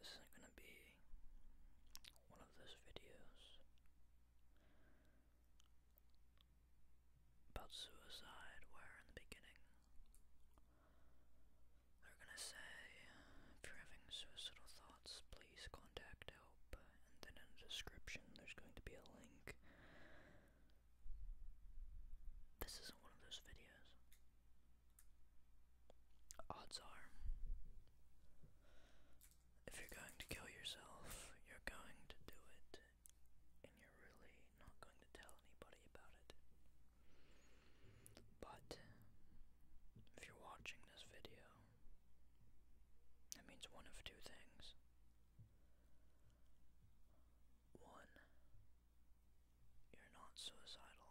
This isn't going to be one of those videos about suicide where in the beginning they're going to say if you're having suicidal thoughts please contact help and then in the description there's going to be a link. This isn't one of those videos. Odds are, if you're going to kill yourself, you're going to do it, and you're really not going to tell anybody about it. But, if you're watching this video, that means one of two things. One, you're not suicidal.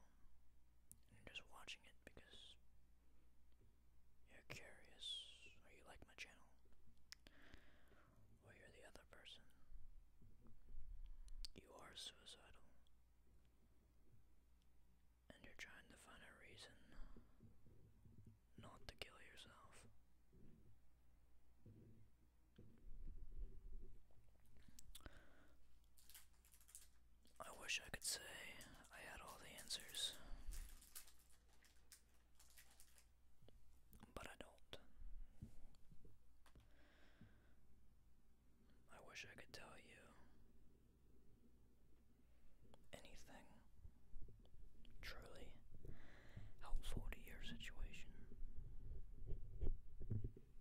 You're just watching it because you're curious, or you like my channel, or you're the other person. You are suicidal. And you're trying to find a reason not to kill yourself. I wish I could say I had all the answers, but I don't. I wish I could tell you anything truly helpful to your situation. Truth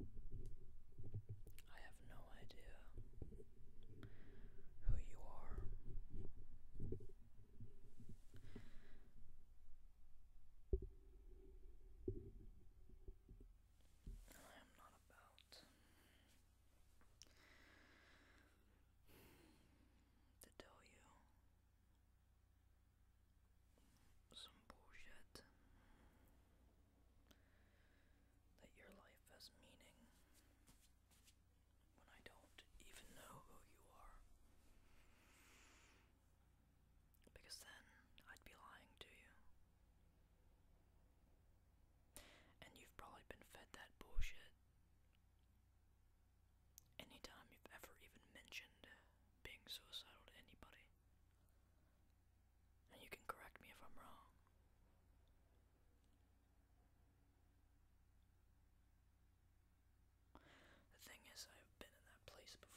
is, I have no idea who you are. I am not about to tell you some bullshit that your life has meaning when I don't even know who you are. Because then I'd be lying to you. And you've probably been fed that bullshit Anytime you've ever even mentioned being suicidal to anybody. And you can correct me if I'm wrong. The thing is, I've been in that place before.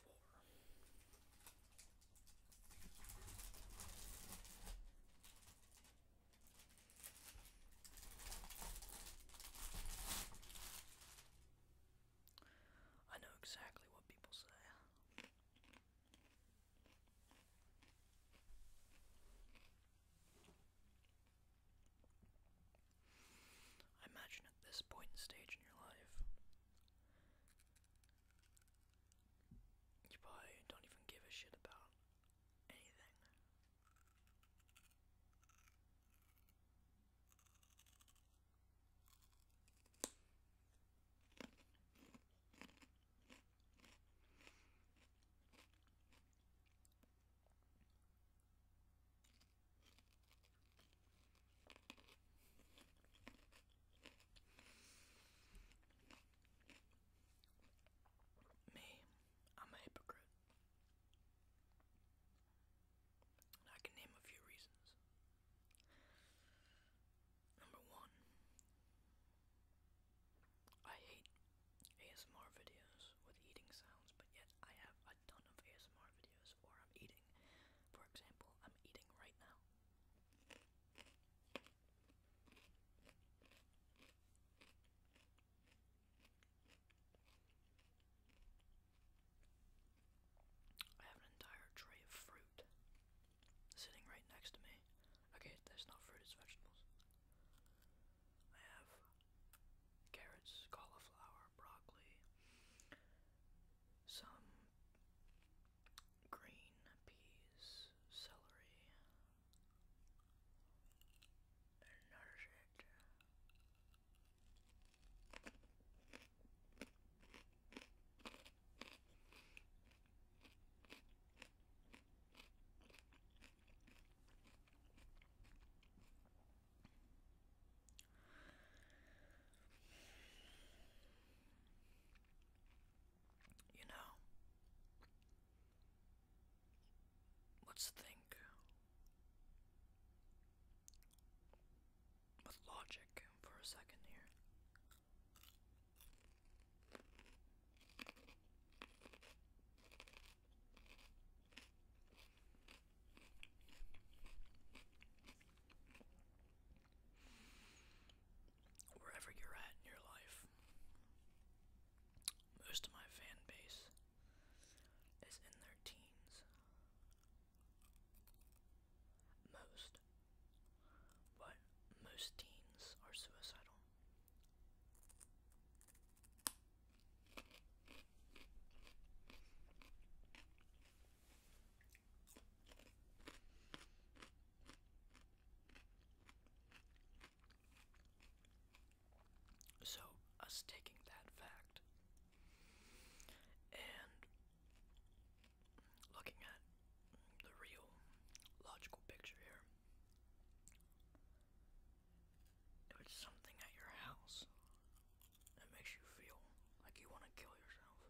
I know exactly what people say. I imagine at this point stage in your life, you probably don't even give a shit about anything. Me, I'm a hypocrite. And I can name a few reasons. Number one, I hate ASMR videos with eating sounds, but yet I have a ton of ASMR videos where I'm eating. For example, I'm eating right now. I have an entire tray of fruit sitting right next to me. Okay, that's not fruit, it's vegetables. I have carrots, cauliflower, broccoli, some green peas, celery, and nourish you know, let's think with logic for a second here. Wherever you're at in your life, most of my fan base is in their teens. Most. But most teens are suicidal. So, us taking that fact and looking at the real logical picture here, if something at your house that makes you feel like you want to kill yourself,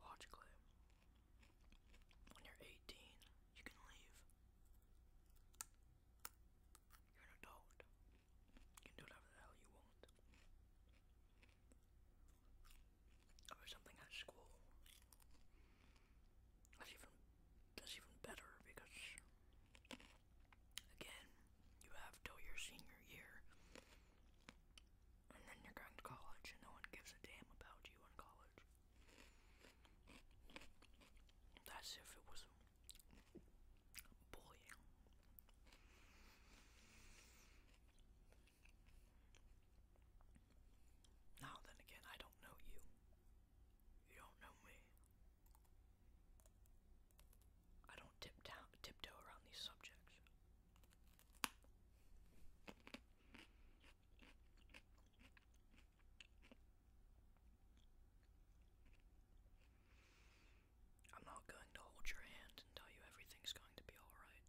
logically, when you're 18, you can leave. You're an adult. You can do whatever the hell you want. Or something at school. That's even that's even better because again, you have till your senior year. And then you're going to college and no one gives a damn about you in college college. That's if it was bullying. Now then again, I don't know you. You don't know me. I don't tiptoe around these subjects. I'm not going to hold your hand and tell you everything's going to be alright.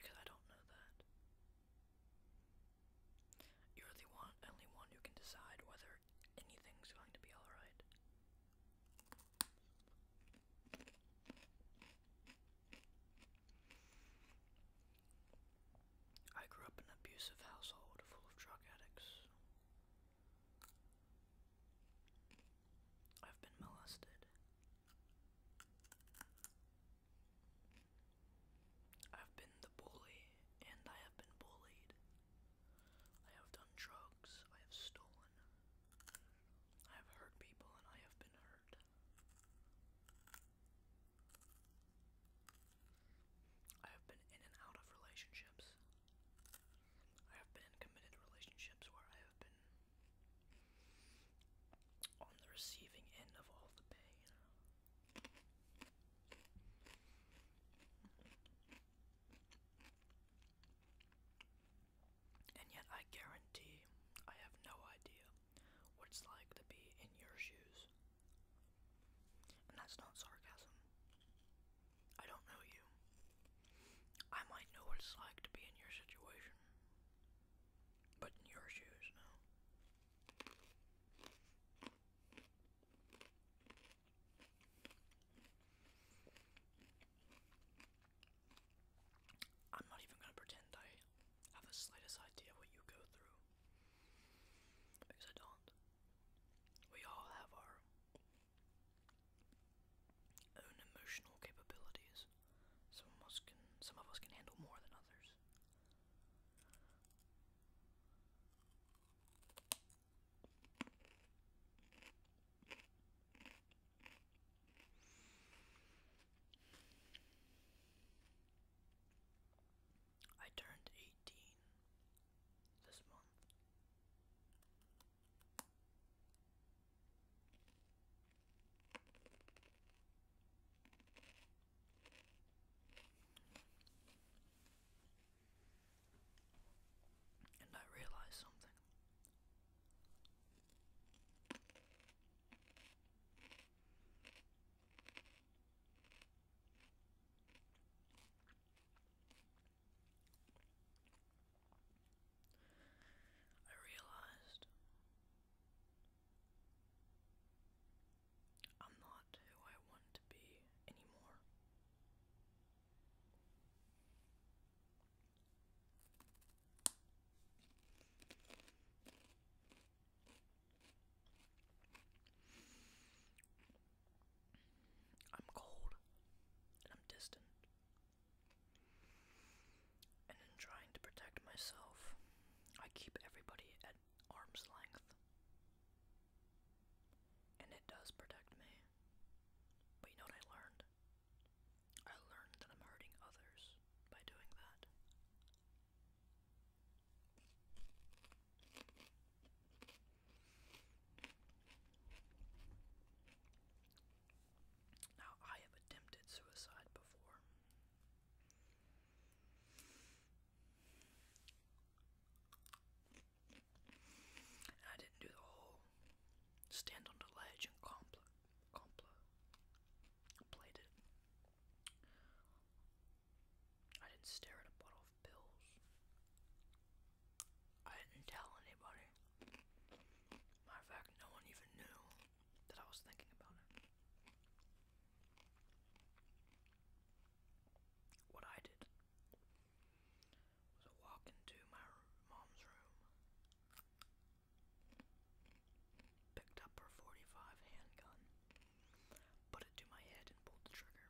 Because I don't know that. You're the one, only one who can decide whether anything's going to be alright. I grew up in an abusive household full of drug addicts. I've been molested. I've been the bully, and I have been bullied. I have done drugs, I have stolen. I have hurt people, and I have been hurt. I have been in and out of relationships. I have been in committed relationships where I have been on the receiving end of all the pain. And yet, I guarantee I have no idea what it's like to be in your shoes. And that's not sarcasm. I don't know you. I might know what it's like to be in your situation, but in your shoes, no. I'm not even gonna pretend I have the slightest idea what you go through. Because I don't. We all have our own emotional capabilities. Some of us can some of us can handle more than others. I turned 18 this month. And I realized something. I realized I'm not who I want to be anymore. I'm cold and I'm distant. And in trying to protect myself, I keep everybody at arm's length. And it does protect me. But you know what I learned? I learned that I'm hurting others by doing that. Now, I have attempted suicide before. I didn't do the whole stand on the ledge and complex I didn't stare at a bottle of pills. I didn't tell anybody. Matter of fact, no one even knew that I was thinking about it. What I did was I into my mom's room Picked up her 45 handgun, put it to my head, and pulled the trigger.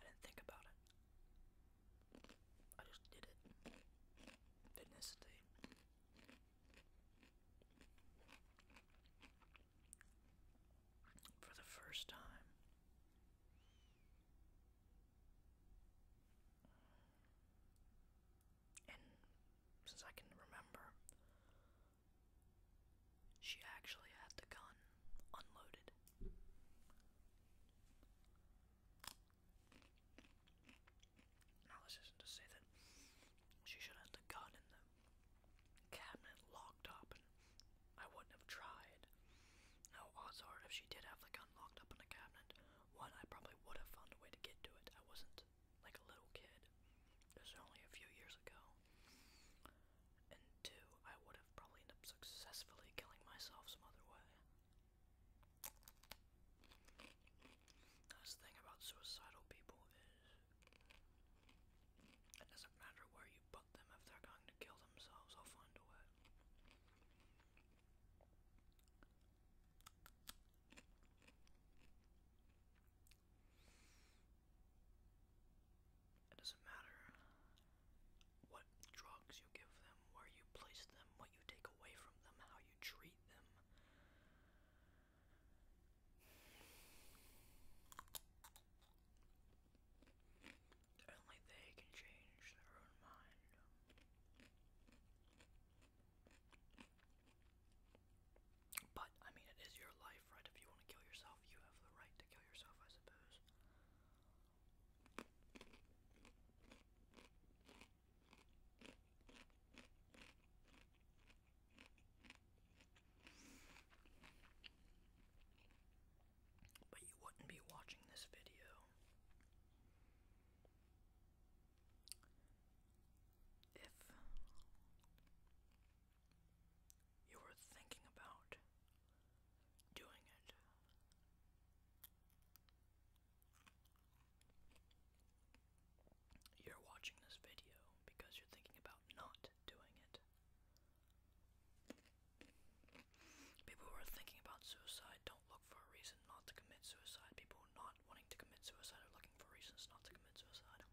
I didn't think about it. I just did it. Didn't hesitate. For the first time, since I can remember, she actually had the gun unloaded. Now, this isn't to say that she should have the gun in the cabinet locked up, I wouldn't have tried. No, odds if she did have the gun locked up in the cabinet, one, I probably would have found a way to get to it. I wasn't like a little kid. This was only a few years ago. And two, I would have probably ended up successfully killing myself some other way. That's the thing about suicidal people is it doesn't matter where you put them if they're going to kill themselves, they'll find a way. It doesn't matter what drugs you give them, where you place them, what you take away from them, how you treat them. Only they can change their own mind. But, I mean, it is your life, right? If you want to kill yourself, you have the right to kill yourself, I suppose. But you wouldn't be watching this video if you were thinking about doing it, you're watching this video because you're thinking about not doing it. People who are thinking about suicide suicide, don't look for a reason not to commit suicide. People not wanting to commit suicide are looking for reasons not to commit suicide.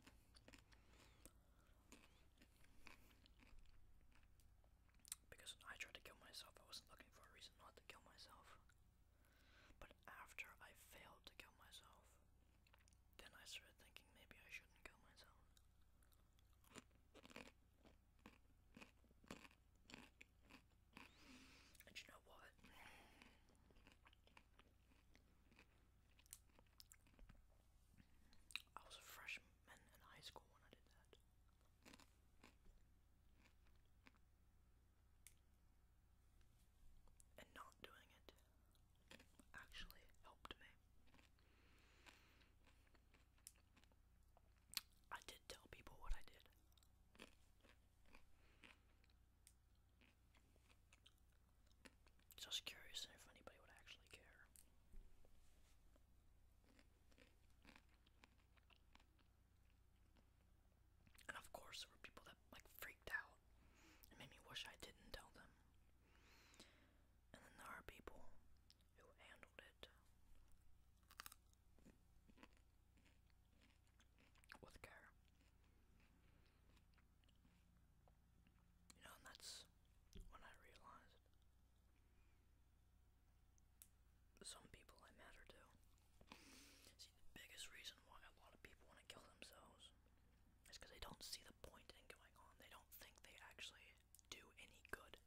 Because I tried to kill myself, I wasn't looking for a reason not to kill myself. But after I failed to kill myself, then I started thinking maybe I shouldn't kill myself. And you know what? I was a freshman in high school when I did that. And not doing it actually helped me. I did tell people what I did. Just curious if anybody would actually care. And of course, there were people that like freaked out and made me wish I didn't tell them. And then there are people who handled it with care. You know, and that's when I realized some people I matter to. See, the biggest reason why a lot of people want to kill themselves is because they don't see the point in going on. They don't think they actually do any good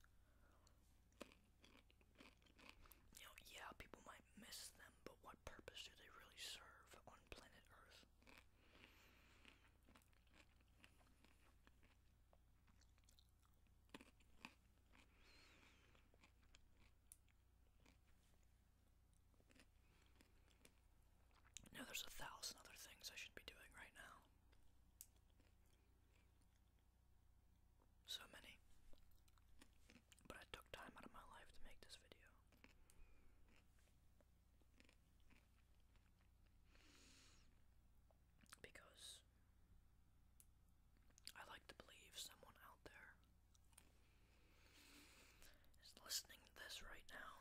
yeah, people might miss them, but what purpose do they really serve on planet Earth? Now, there's a thousand other things I should be doing right now. So many. But I took time out of my life to make this video. Because I like to believe someone out there is listening to this right now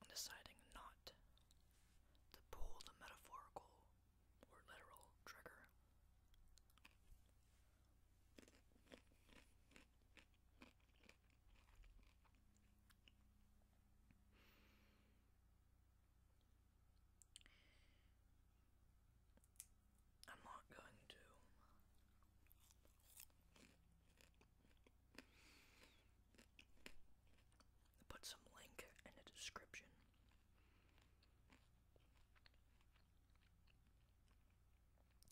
and deciding not to pull the metaphorical or literal trigger. I'm not going to put some link in the description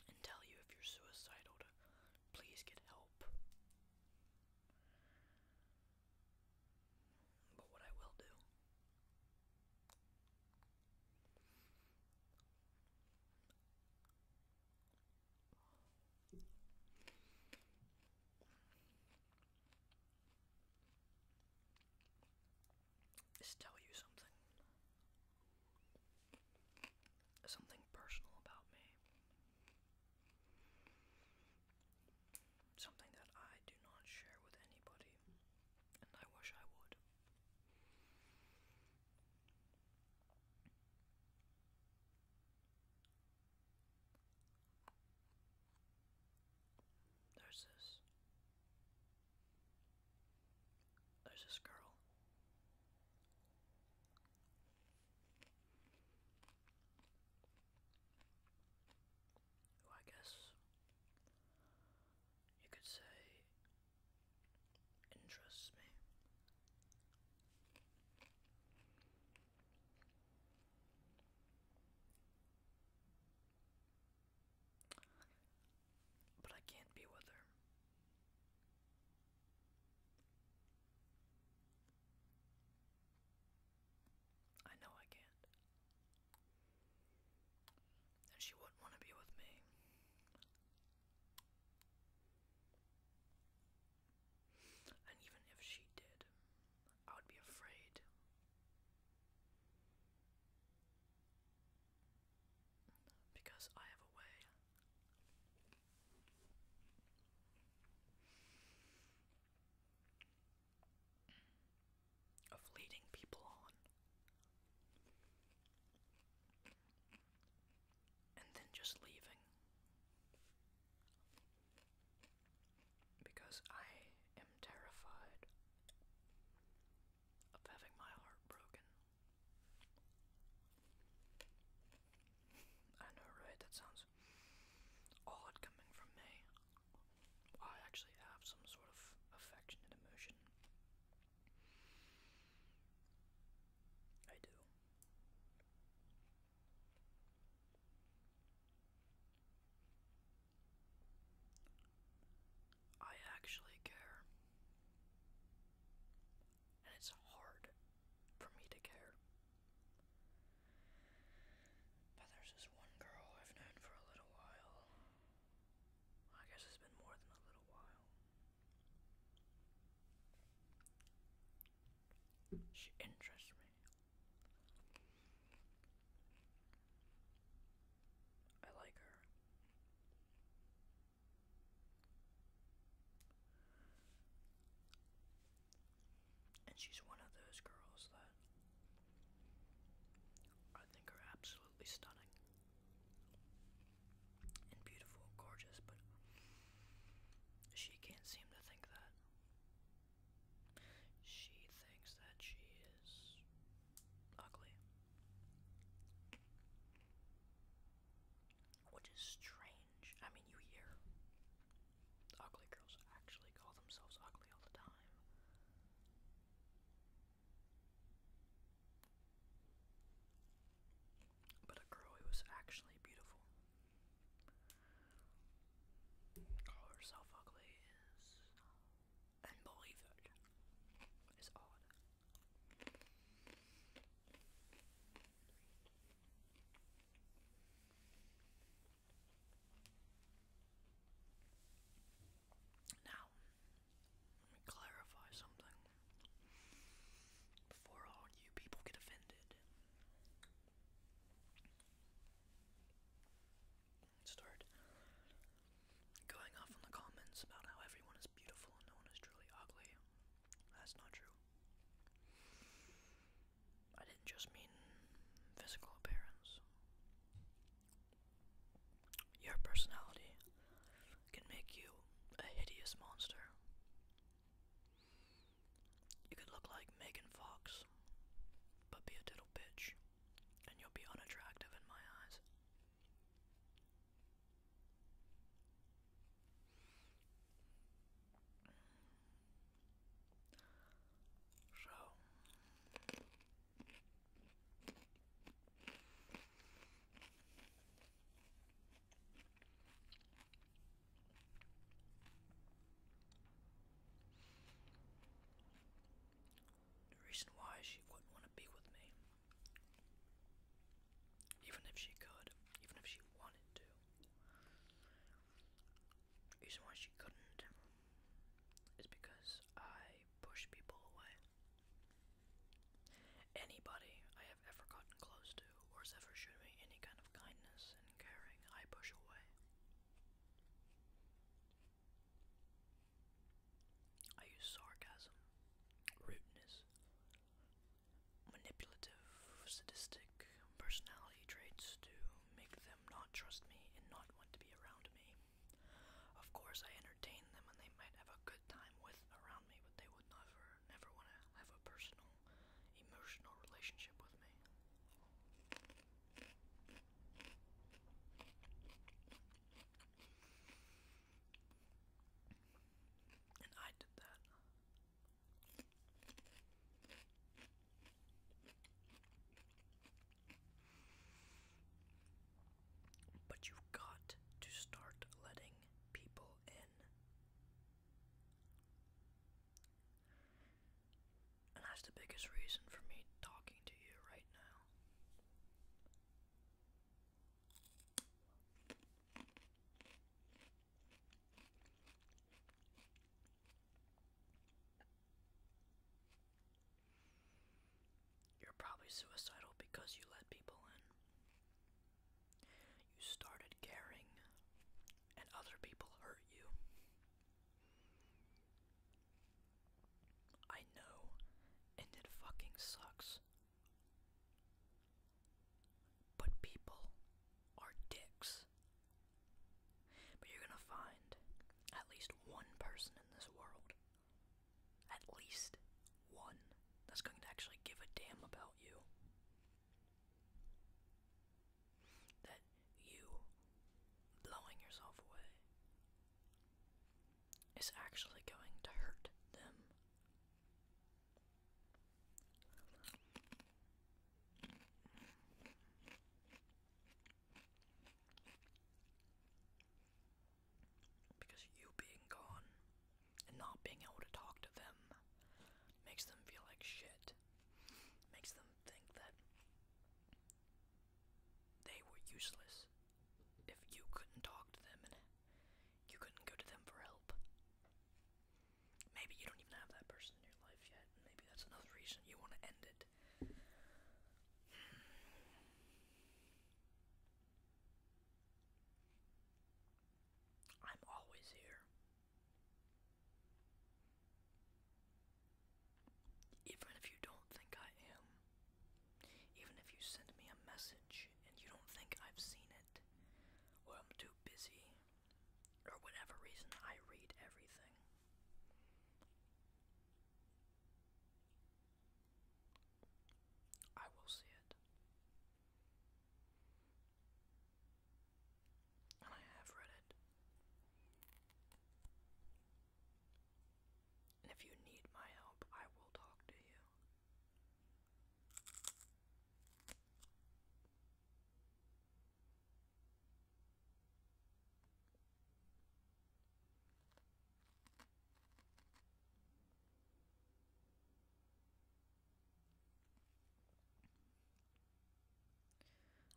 and tell you if you're suicidal to please get help. But what I will do is tell you something. Something personal about me. Something that I do not share with anybody, and I wish I would. There's this. There's this girl. I guess you could say interests me. But I can't be with her. I know I can't. And she wouldn't want to be with me. And even if she did, I would be afraid. Because I have a way. Of leading people on, and then just leaving because I am terrified of having my heart broken. I know, right? That sounds odd coming from me. I actually have some sort of affectionate emotion. I do. I actually care. And it's hard for me to care. But there's this one girl I've known for a little while. I guess it's been more than a little while. She interests me I like her. And she's one of those girls that I think are absolutely stunning and beautiful, gorgeous, but she can't seem to think that. She thinks that she is ugly. Which is strange. I mean, you hear ugly girls actually call themselves ugly all the time. But a girl who is actually beautiful, call herself ugly, is and believe it. It's odd. Now, clarify something before all you people get offended start going off on the comments about how everyone is beautiful and no one is truly ugly. That's not true. I didn't just mean physical appearance. Your personality can make you a hideous monster. You could look like Megan Fox, but be a little bitch and you'll be unattractive in my eyes. So, the reason why she wouldn't want to be with me, even if she could, even if she wanted to, the reason why she couldn't is because I push people away. Anybody I have ever gotten close to or has ever shown me any kind of kindness and caring, I push away. I use sarcasm, rudeness, manipulative, sadistic personality traits to make them not trust me and not want to be around me. Of course, I entertain them and they might have a good time with around me, but they would never, never want to have a personal, emotional relationship with me. And I did that. But you've got to start letting people in. And that's the biggest reason for me talking to you right now. You're probably suicidal because you let people in. You started caring, and other people hurt you. I know, and it fucking sucks. But people are dicks. But you're gonna find at least one person in this world. At least one that's going to actually give a damn about you that you blowing yourself away is actually going to hurt them. Because you being gone and not being able to talk to them makes them feel like shit. Makes them think that they were useless if you couldn't talk to them and you couldn't go to them for help. Maybe you don't even have that person in your life yet, maybe that's another reason you want to end it. I'm always here even if you don't think I am, even if you send me a message and you don't think I've seen it, or I'm too busy, or whatever reason, I read everything. I will see it and I have read it. And if you need my help, I will talk to you.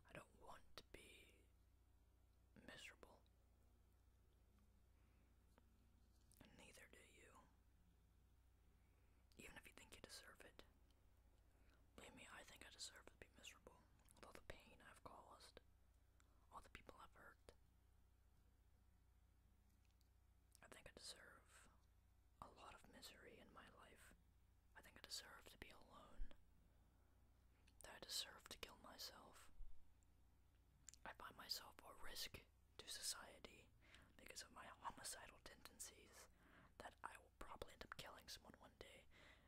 I don't want to be miserable. And neither do you. Even if you think you deserve it. Believe me, I think I deserve to be miserable Although the pain I've caused, all the people I've hurt. I think I deserve a lot of misery in my life. I think I deserve to be alone. That I deserve to kill myself. I find myself a risk to society because of my homicidal tendencies. That I will probably end up killing someone one day,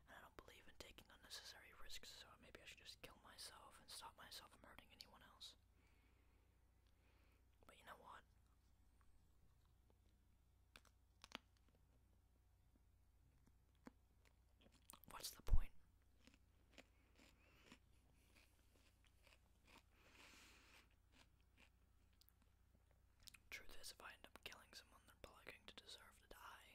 and I don't believe in taking unnecessary risks, so maybe I should just kill myself and stop myself from hurting anyone else. But you know what? What's the point? Truth is, if I end up killing someone, they're probably to deserve to die.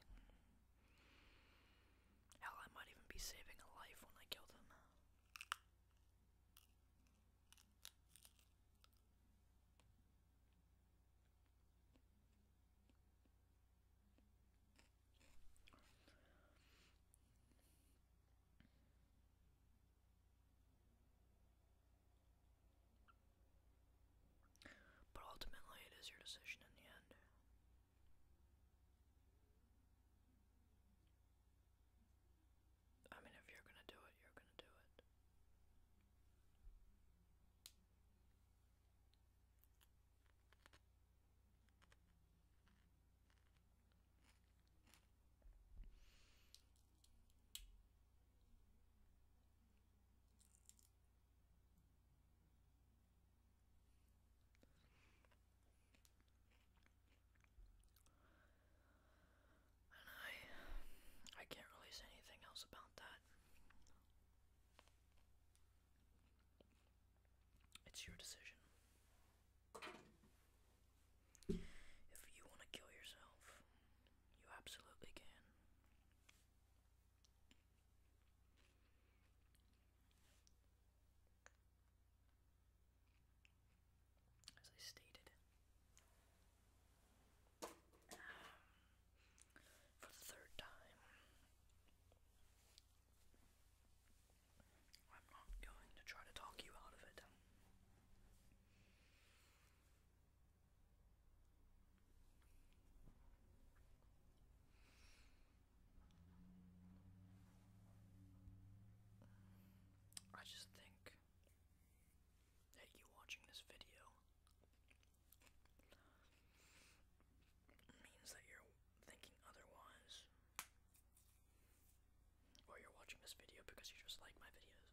Hell, I might even be saving a life when I kill them. But ultimately, it is your decision in the end. I mean, if you're gonna do it, you're gonna do it. And I I can't really say anything else about that. It's your decision. If you want to kill yourself, you absolutely can. As I stated, for the third time. I'm not going to try to talk you out of it. I just think that you watching this video means that you're thinking otherwise. Or you're watching this video because you just like my videos.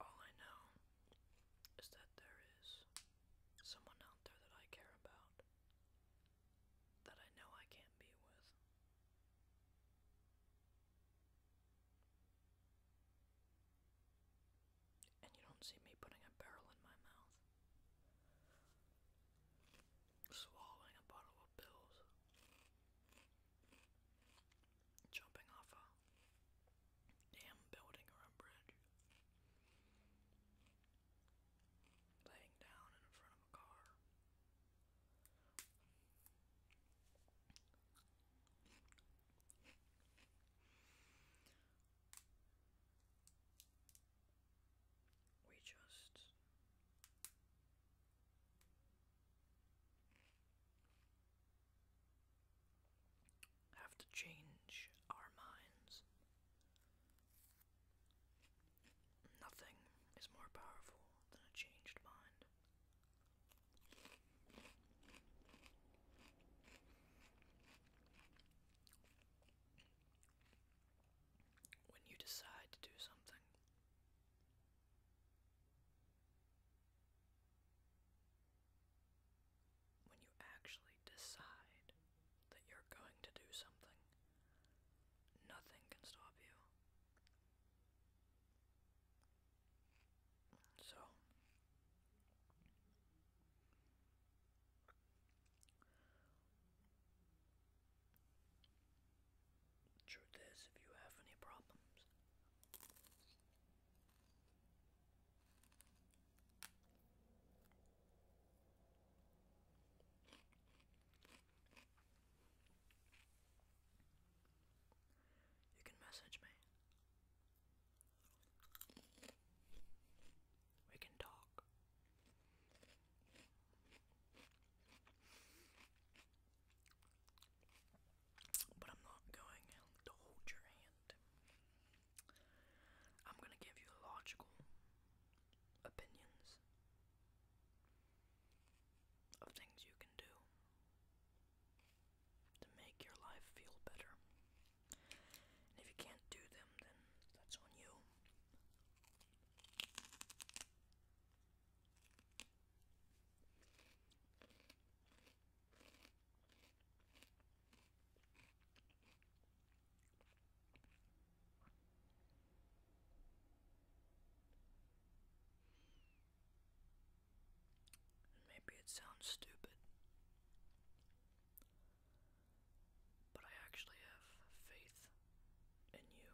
All I know is that there is someone out there that I care about that I know I can't be with. And you don't see me putting a barrel in my mouth, swallowing a bottle of pills, jumping off a damn building or a bridge. Laying down in front of a car. We just have to change our minds. Nothing is more powerful than a changed mind. When you decide to do something, when you actually decide that you're going to do something, nothing can stop you. So, truth is, if you have any problems, you can message me. We can talk but I'm not going to hold your hand. I'm going to give you logical opinions of things you can do to make your life feel better. And if you can't do them, then that's on you. Maybe it sounds stupid, but I actually have faith in you.